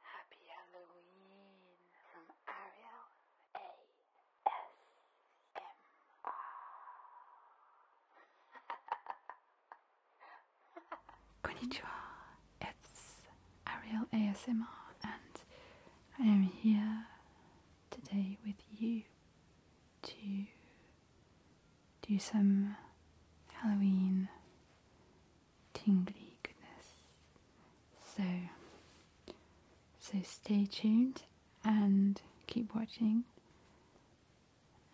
Happy Halloween from Ariel ASMR. Konnichiwa, it's Ariel ASMR, and I am here today with you to do some Halloween tingly goodness. So, so stay tuned and keep watching.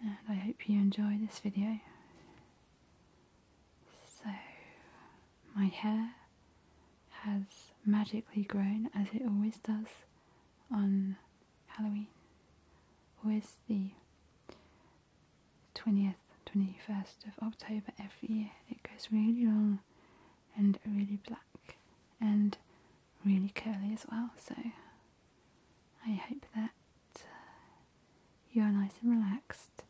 And I hope you enjoy this video. So, my hair has magically grown as it always does on Halloween. Always the 20th, 21st of October every year. It goes really long and really black and really curly as well. So I hope that uh, you are nice and relaxed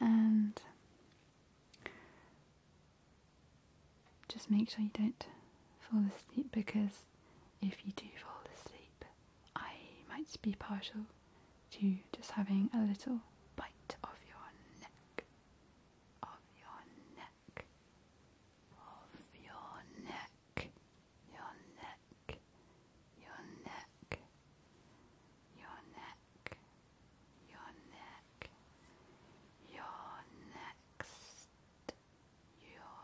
and just make sure you don't fall asleep because if you do fall asleep, I might be partial to just having a little bite of your neck, of your neck, of your neck, your neck, your neck, your neck, your neck, your next, your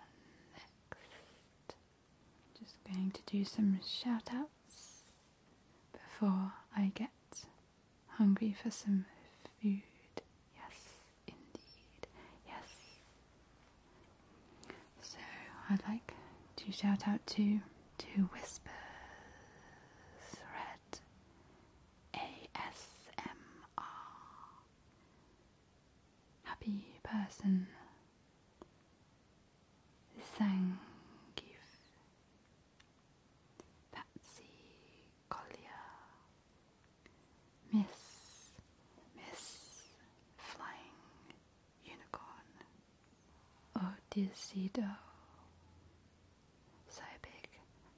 next, just going to do some shout outs before I get hungry for some food. Yes, indeed. Yes. So I'd like to shout out to to Whispers Red ASMR happy person. Thank you, Collier, Miss, Miss Flying Unicorn, Otis So big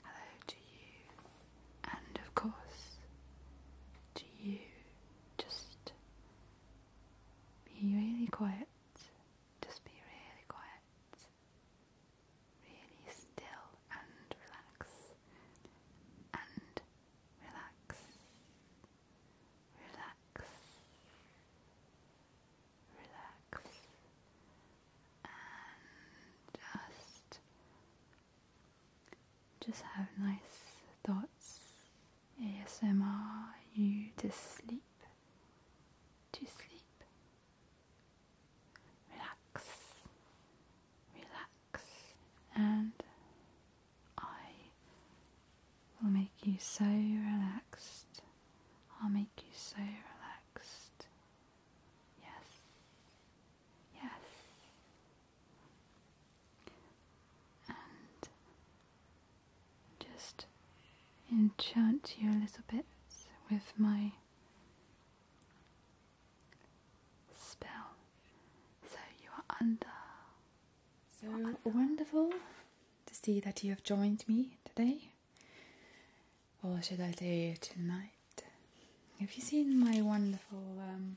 hello to you, and of course to you. Just be really quiet. Just be really quiet. Really still and relax. And relax. Relax. Relax. And just just have nice thoughts. ASMR you to sleep. To sleep. Relax. Relax. And I will make you so relaxed. I'll make you so relaxed. Yes. Yes and just enchant you a little bit with my spell. So you are under. So oh, wonderful to see that you have joined me today, or should I say tonight. Have you seen my wonderful um,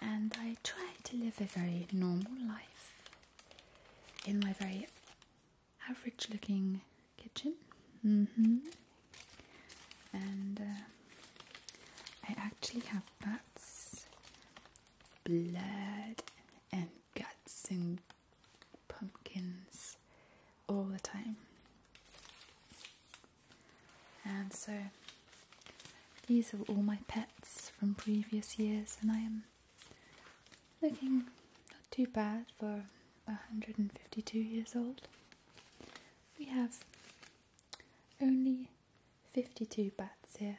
and I try to live a very normal life in my very average looking kitchen. Mm-hmm. And uh, I actually have bats, blood, and guts and pumpkins all the time. And so these are all my pets from previous years, and I am looking not too bad for 152 years old. We have only 52 bats here.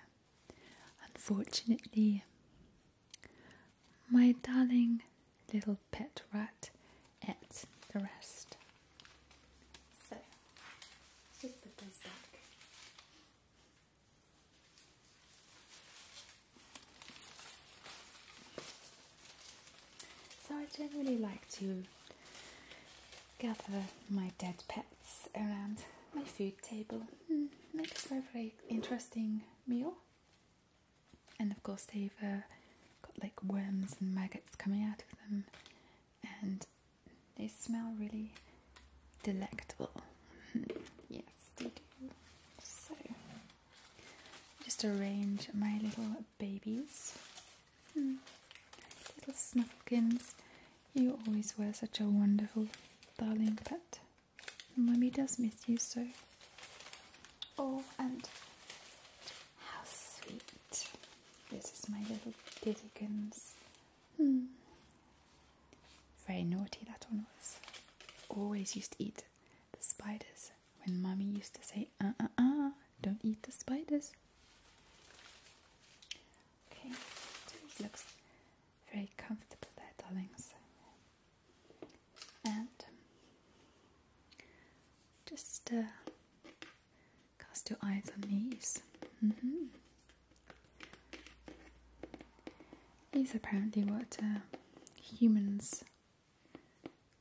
Unfortunately, my darling little pet rat ate the rest. So just put those back. So I generally like to gather my dead pets around my food table. Hmm, makes for a very interesting meal. And of course they've uh, got like worms and maggots coming out of them and they smell really delectable. yes, they do. So, just arrange my little babies, hmm, little snuffkins. You always were such a wonderful, darling pet. Mummy does miss you so. Oh, and how sweet. This is my little Diddigans. Hmm. Very naughty that one was. Always used to eat the spiders when mummy used to say, uh uh uh, don't eat the spiders. Okay, looks very comfortable there, darlings. And um, just uh, Cast your eyes on these. Mm-hmm. These are apparently what uh, humans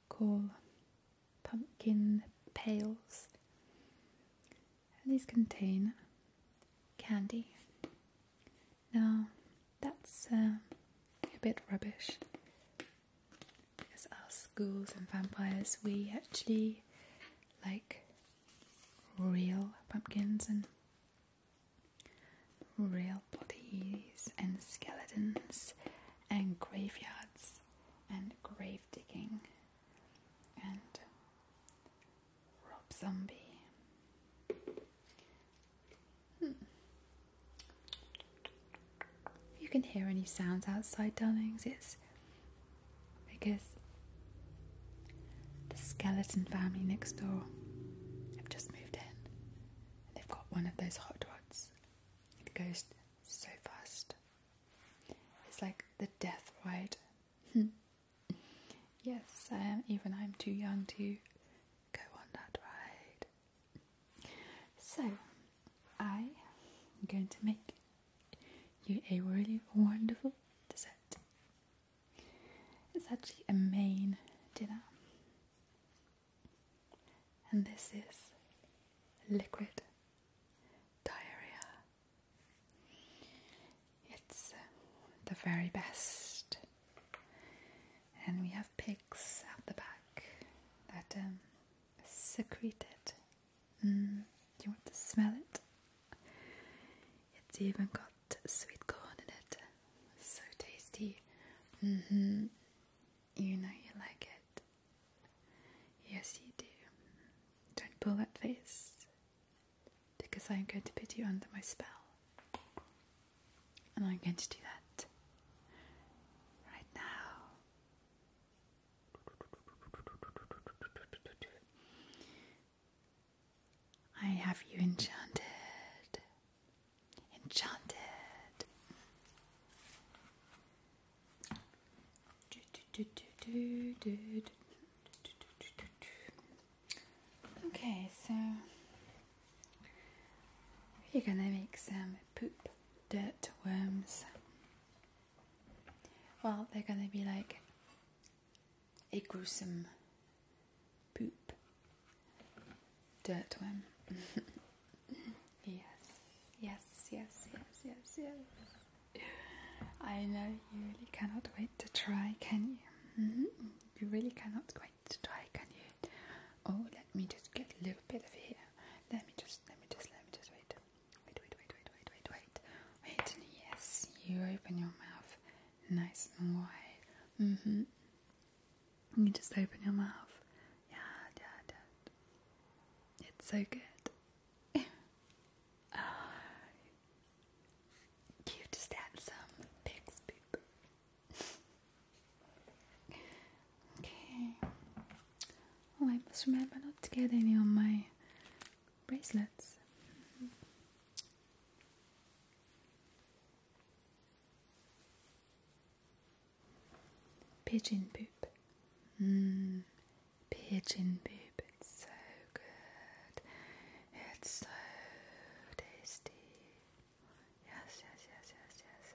call pumpkin pails. And these contain candy. Now, that's uh, a bit rubbish because our schools and vampires, we actually like real pumpkins and real bodies and skeletons and graveyards and grave digging and Rob Zombie. Hmm. you can hear any sounds outside, darlings, it's because the skeleton family next door have just moved in and they've got one of those hot rods. It goes so fast. It's like the death ride. yes, um, even I'm too young to go on that ride. So, I am going to make you a really wonderful dessert. It's actually a main dinner, and this is liquid diarrhea. It's uh, the very best, and we have pigs at the back that um, secrete it Mm, do you want to smell it? It's even got sweet corn in it. So tasty. Mm-hmm. You know you like it. Yes, you do. Don't pull that face because I'm going to put you under my spell. And I'm going to do that right now. I have you enchanted, enchanted. Okay, so you are gonna make some poop dirt worms. Well, they're going to be like a gruesome poop dirt worm. yes, yes, yes, yes, yes, yes. I know you really cannot wait to try, can you? Mm-hmm. You really cannot wait to try, can you? Oh, let me just get a little bit of here. Let me just, let me just, let me just wait. Wait, wait, wait, wait, wait, wait, wait. yes, you open your mouth nice and wide. Mm hmm. You just open your mouth. Yeah, yeah, yeah. It's so good. oh. Cutest handsome pig's poop. okay. Oh, I must remember not to get any on my bracelets. Pigeon poop. Mmm, pigeon poop. It's so good. It's so tasty. Yes, yes, yes, yes, yes, yes.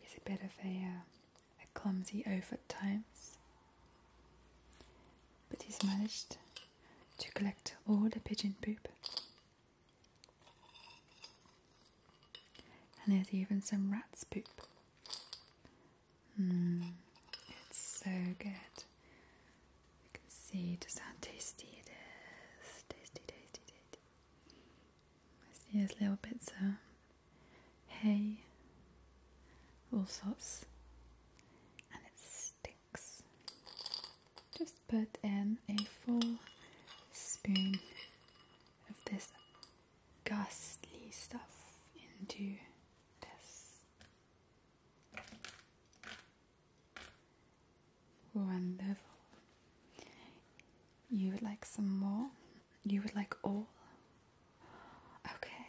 He's a bit of a, a clumsy oaf at times. But he's managed to collect all the pigeon poop. And there's even some rat's poop. Mmm, it's so good. You can see just how tasty it is. Tasty, tasty, tasty. I see there's little bits of hay, all sorts, and it stinks. Just put in a full spoon of this ghastly stuff into this. Wonderful. You would like some more? You would like all? Okay.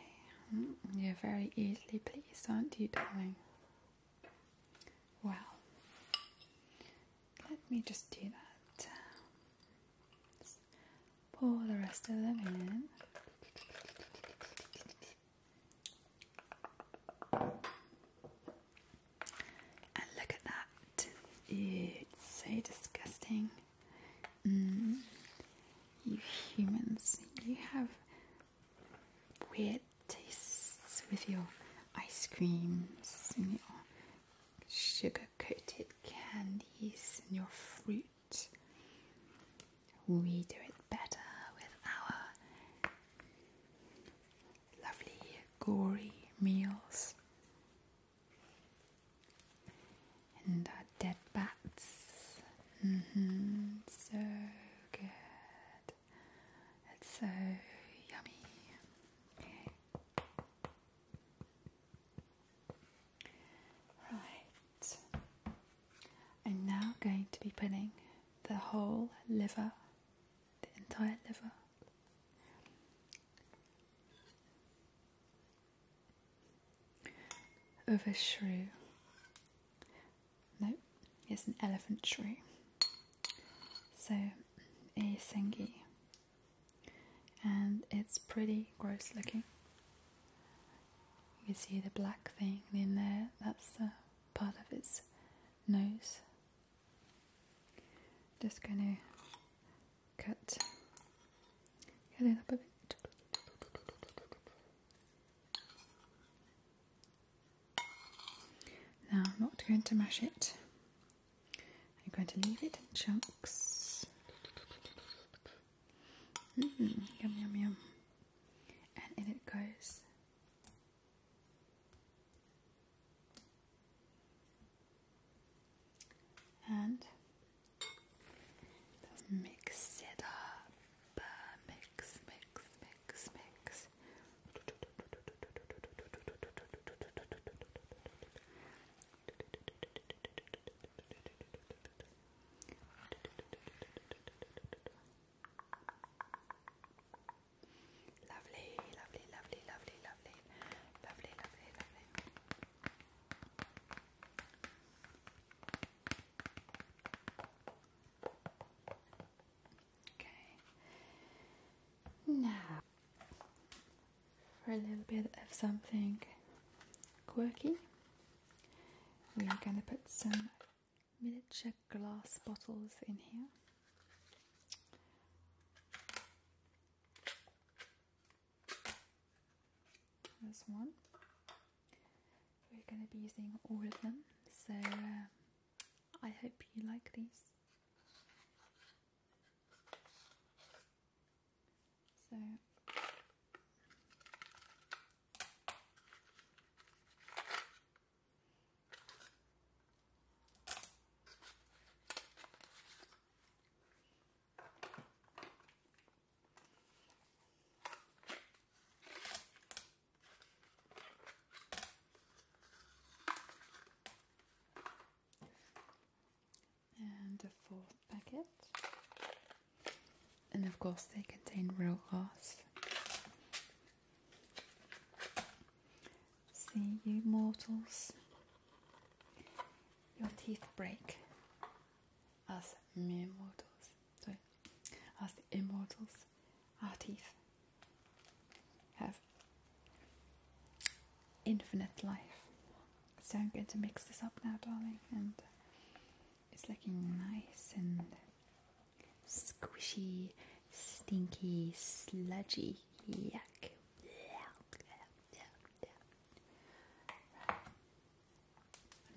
Mm, you're very easily pleased, aren't you, darling? Well, let me just do that. Just pour the rest of them in. And look at that. It's so disgusting. Mm. you humans, you have weird tastes with your ice creams and your sugar coated candies and your fruit. We do it better with our lovely, gory meals and our dead bats. -hmm. So good. It's so yummy. Right. I'm now going to be putting the whole liver, the entire liver, over shrew. No, it's an elephant shrew. So a sengi. And it's pretty gross looking. You can see the black thing in there, that's uh, part of its nose. Just going to cut cut it bit now I'm not going to mash it I'm going to leave it in chunks mm-hmm. yum yum yum and in it goes and mix it up. Mix, mix, mix, mix. Lovely, lovely, lovely, lovely, lovely, lovely, lovely, lovely. Okay. Now, for a little bit of something quirky, we are going to put some miniature glass bottles in here. This one. We're gonna be using all of them, so uh, I hope you like these. So and the fourth packet. And of course, they contain real glass. See you, mortals your teeth break as mere sorry, as immortals, our teeth have infinite life. So I'm going to mix this up now, darling, and it's looking nice and squishy, stinky, sludgy. Yuck.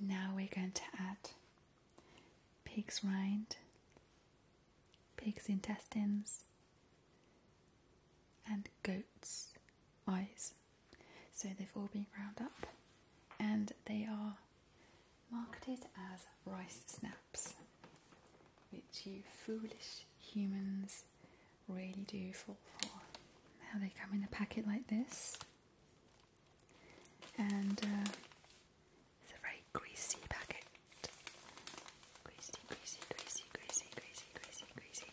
Now we're going to add pig's rind, pig's intestines, and goat's eyes. So they've all been ground up and they are marketed as rice snaps, which you foolish humans really do fall for. How they come in a packet like this, and uh, it's a very greasy packet. Greasy, greasy, greasy, greasy, greasy, greasy, greasy.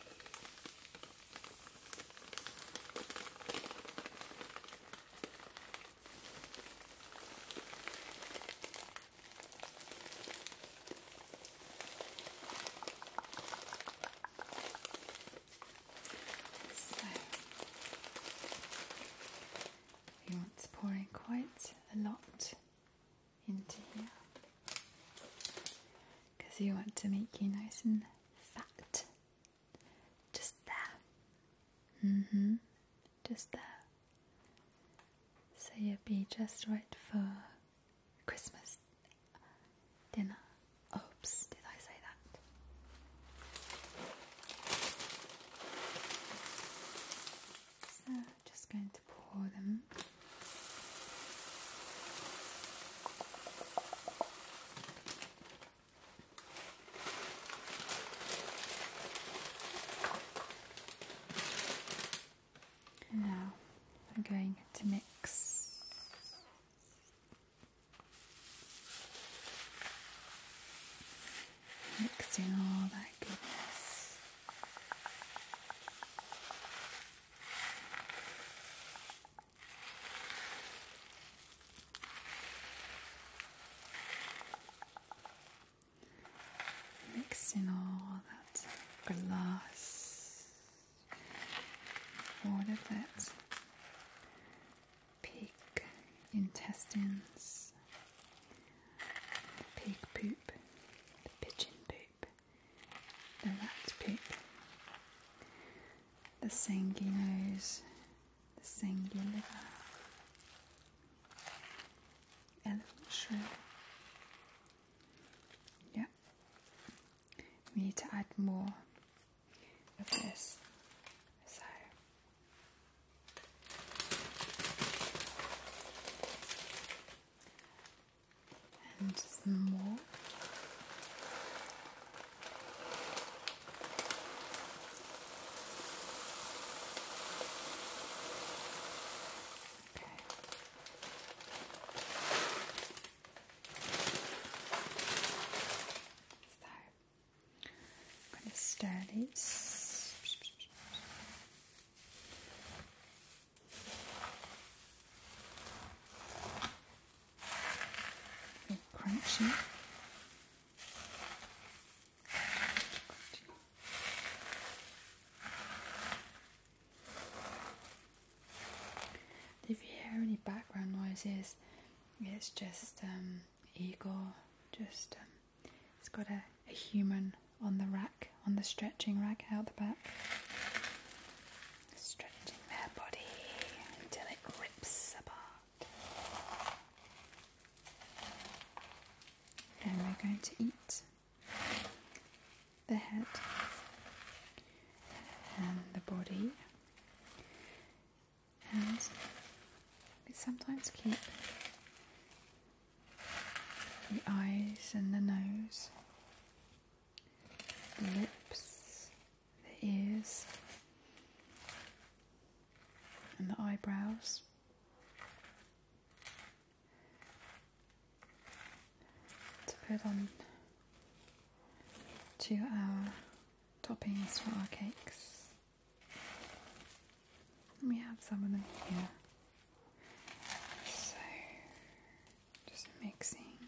He wants want to pour in quite a lot into here because you want to make you nice and fat. Just there. Mm hmm. Just there. So you'll be just right for Christmas dinner. Oops, did I say that? So, just going to pour them now I'm going to mix mixing all that goodness. Mixing all that glass all of that pig intestines, the pig poop, the pigeon poop, the rat poop, the sangy nose, the sangy liver, elephant shrimp. Yeah, we need to add more of this. So and more. Okay. So, I'm going to stir this. crunchy. If you hear any background noises, it's just um, Igor. Just it's um, got a, a human on the rack, on the stretching rack out the back, stretching their body until it rips apart. And we're going to eat the head and the body, and we sometimes keep the eyes and the nose, the lips, the ears, and the eyebrows to put on to our toppings for our cakes. we have some of them here. So just mixing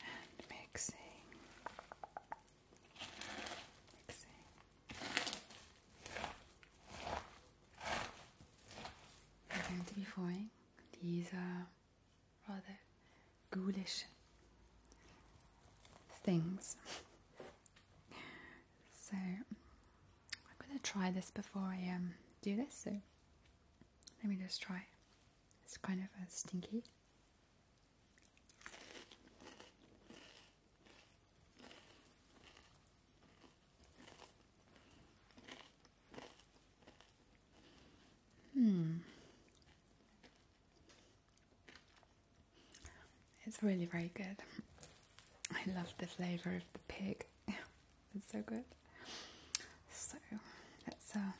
and mixing. Mixing. I'm going to be forming these uh, rather ghoulish things. so I'm going to try this before I um, do this. So let me just try. It's kind of uh, stinky. Hmm. It's really very good. I love the flavour of the pig. it's so good. So let's uh,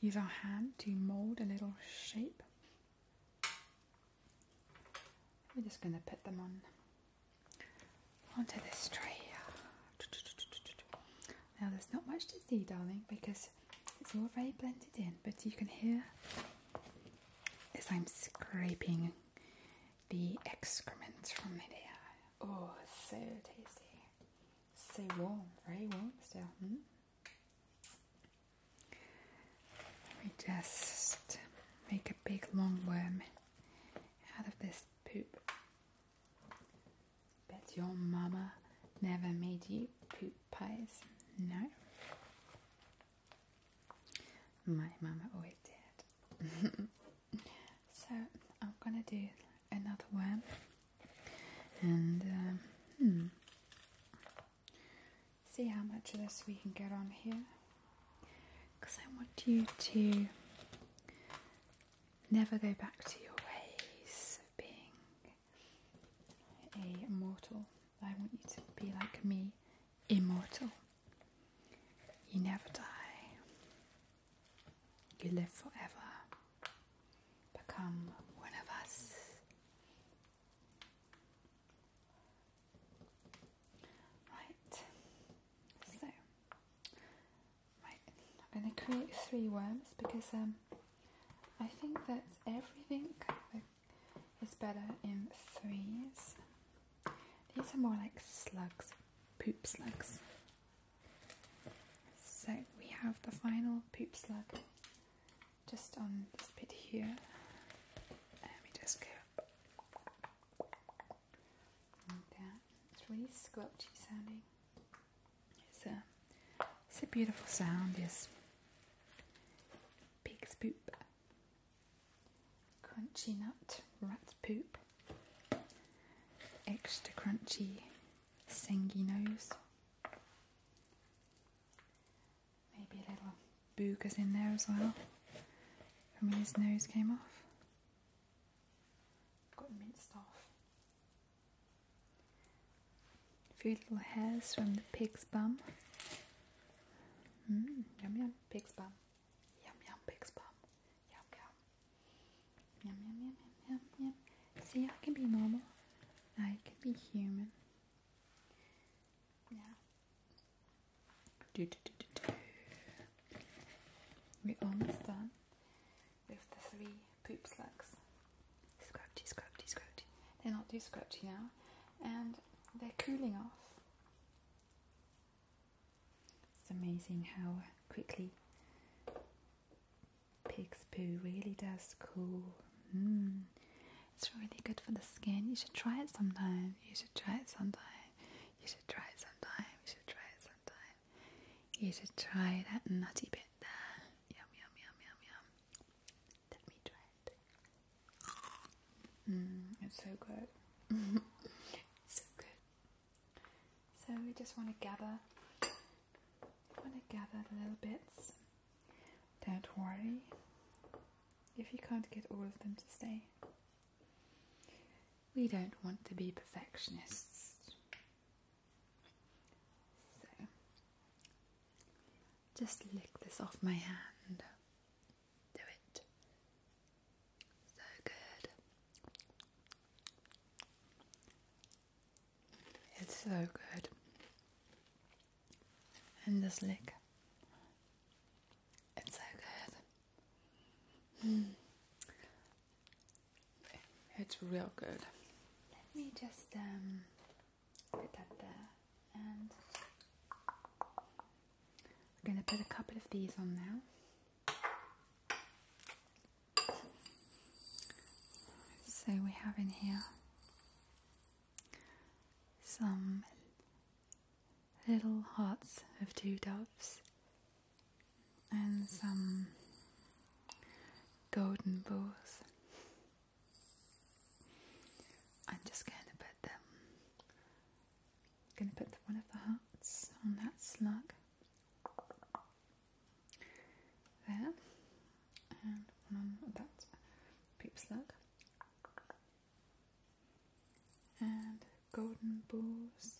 use our hand to mould a little shape. We're just going to put them on onto this tree. Now there's not much to see, darling, because it's all very blended in, but you can hear as I'm scraping the excrement from the deer. Oh, so tasty. So warm, very warm still. Hmm? Let me just make a big long worm out of this poop. Bet your mama never made you poop pies, no? My mama always did. so I'm gonna do another one, and um, hmm. see how much of this we can get on here because I want you to never go back to your ways of being a mortal. I want you to be like me, immortal. You never die. You live forever. Become one of us. Right. So, I'm going to create three worms because um, I think that everything is better in threes. These are more like slugs, poop slugs. So we have the final poop slug just on this bit here. Let me just go like It's really squelchy sounding. It's a, it's a beautiful sound, yes. Pig's poop. Crunchy nut, rat poop. Extra crunchy, sangy nose. Maybe a little boogers in there as well from when his nose came off got minced off. A few little hairs from the pig's bum. Mm, yum yum, pig's bum. Yum yum, pig's bum. Yum yum. Yum yum yum yum yum yum. See, I can be normal. I can be human. Yeah. We're almost done with the three poop slugs. Scratchy, scratchy, scratchy. They're not too scratchy now, and they're cooling off. It's amazing how quickly pig's poo really does cool. Hmm. It's really good for the skin. You should try it sometime. You should try it sometime. You should try it sometime. You should try it sometime. You should try that nutty bit there. Yum, yum, yum, yum, yum. Let me try it. Mm, it's so good. so good. So we just want to gather, want to gather the little bits. Don't worry if you can't get all of them to stay we don't want to be perfectionists. So, just lick this off my hand. Do it. So good. It's so good. And just lick it's so good. Hmm. It's real good. Let me just um, put that there and I'm going to put a couple of these on now. So we have in here some little hearts of two doves and some golden balls. I'm just going to put them. Going to put one of the hearts on that slug there, and one on that poop slug, and golden bulls,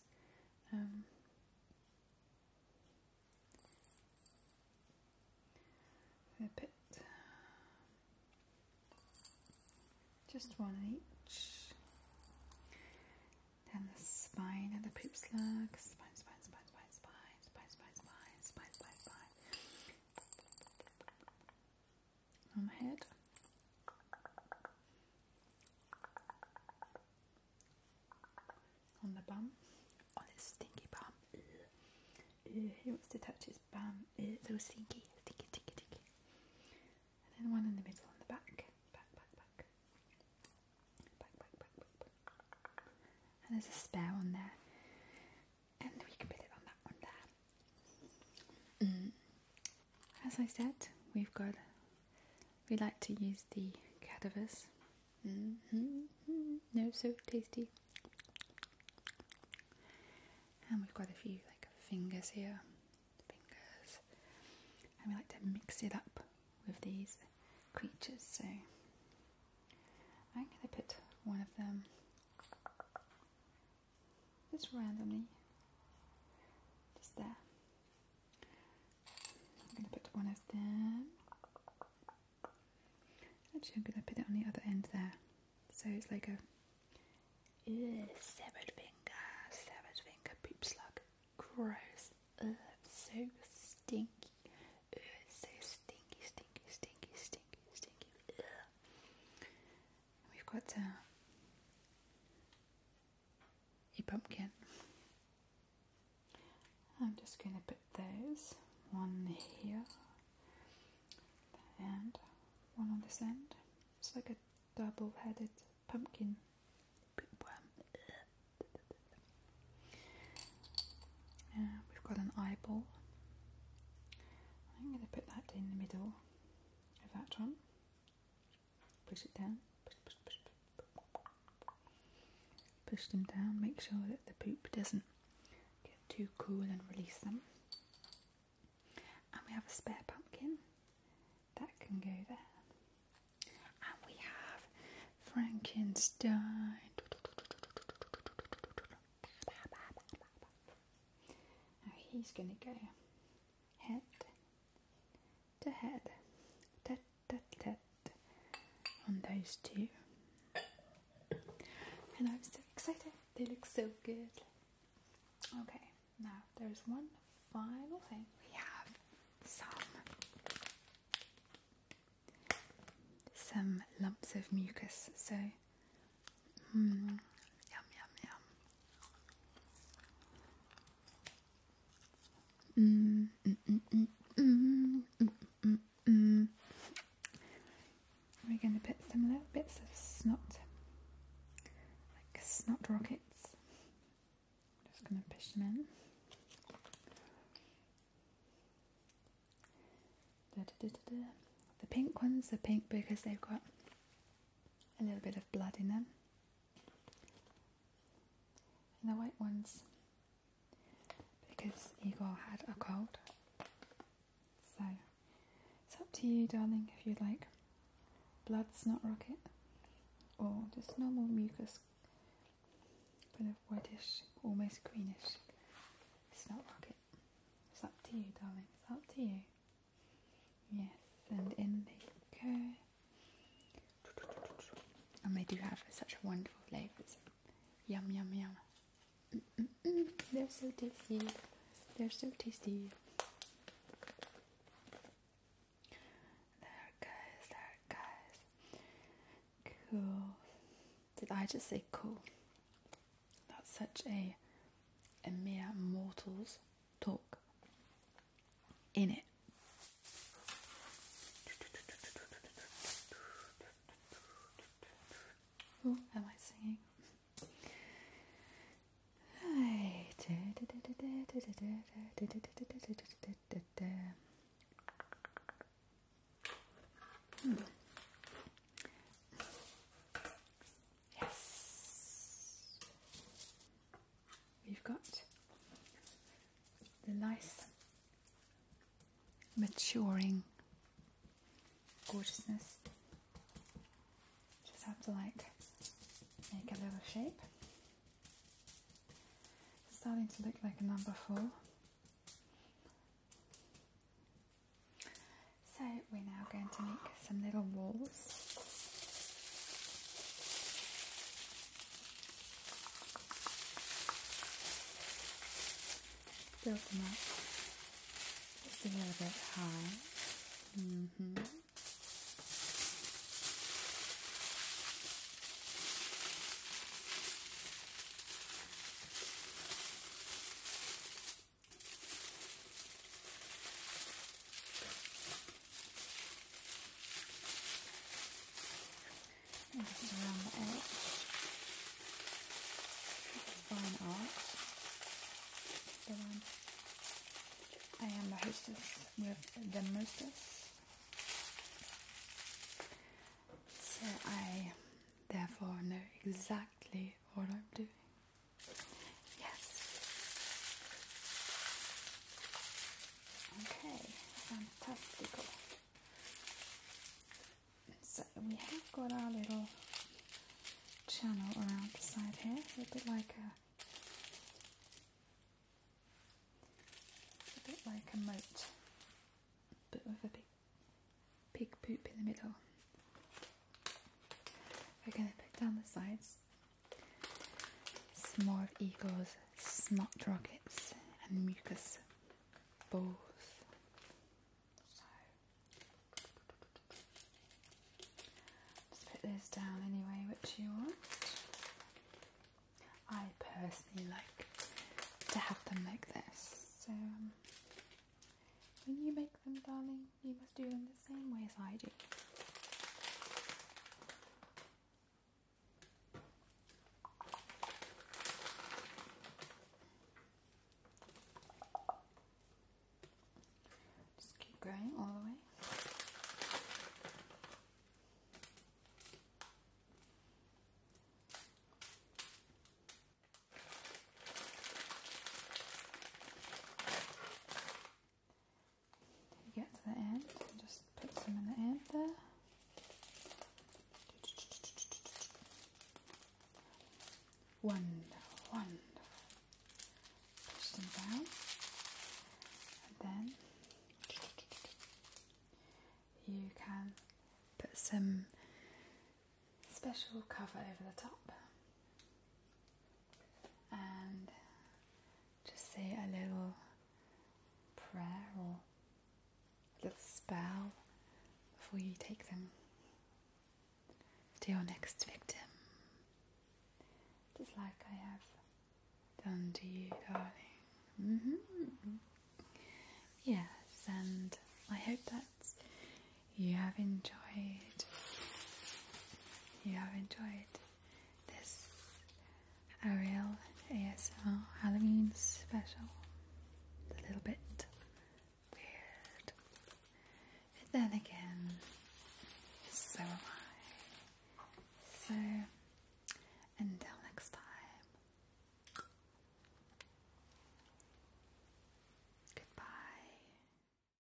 a bit, just one each. Then the spine and the poop slug. Spine, spine, spine, spine, spine, spine, spine, spine, spine, spine, spine on the head. On the bum, on his stinky bum. He uh, uh, wants to touch his bum. Uh, Ew. So stinky, stinky, stinky, stinky. And then one in the middle on the back. Back, back, back. Back, back, back, back, back. And there's a spare on there. And we can put it on that one there. Mm as I said, we've got, we like to use the cadavers. Mm-hmm. No, so tasty. And we've got a few like fingers here, fingers. And we like to mix it up with these creatures. So I'm going to put one of them just randomly, just there. I'm gonna put one of them. Actually, I'm gonna put it on the other end there, so it's like a Ew, severed finger, severed finger, poop slug. Gross. Ugh, so stinky. Ugh, so stinky, stinky, stinky, stinky, stinky. We've got uh, a pumpkin. I'm just going to put those one here and one on this end. It's like a double headed pumpkin worm. Uh, we've got an eyeball. I'm going to put that in the middle of that one. Push it down. Push, them down. Make sure that the poop doesn't get too cool and release them. And we have a spare pumpkin that can go there. And we have Frankenstein. he's going to go head to head, tat tat tat, on those two. And I'm so excited, they look so good. Okay, now there's one final thing. We have some some lumps of mucus. So, mm, yum, yum, yum. Mm, mm, mm, We're going to put some little bits of snot, like snot rockets. Just going to push them in. the pink ones are pink because they've got a little bit of blood in them. And the white ones, because Igor had a cold. So it's up to you, darling, if you'd like blood snot rocket or just normal mucus, kind of reddish, almost greenish snot rocket. It's up to you, darling, it's up to you. Yes, and in they go. And they do have such a wonderful flavours. Yum, yum, yum. They're so tasty. They're so tasty. There goes, there goes. Cool. Did I just say cool? That's such a, a mere mortal's talk in it. Who am I singing? Yes. We've got the nice maturing gorgeousness. Just have to like make a little shape. starting to look like a number four. So we're now going to make some little walls. Build them up just a little bit high. -hmm around the edge. Fine art. I am the hostess with the mostess. So I therefore know exactly what I'm doing. Yes. Okay, fantastico. So we have got our little channel around the side here, a bit like a bit like a moat, but with a big pig poop in the middle. We're going to put down the sides Small of Eagles, Smart Rockets, and Mucus both. just put this down anyway, which you want. I personally like to have them like this. So um, when you make them, darling, you must do it in the same way as I do. Just keep going all the way get to the end and just put some in the end there. Wonderful, wonderful. Push them down. And then you can put some special cover over the top and just say a little prayer or a little spell before you take them to your next victim, just like I have done to you, darling. Mm-hmm. Yes, and I hope that you have enjoyed you have enjoyed this Ariel ASL Halloween special. a little bit weird. But then again, so am I. So until next time. Goodbye.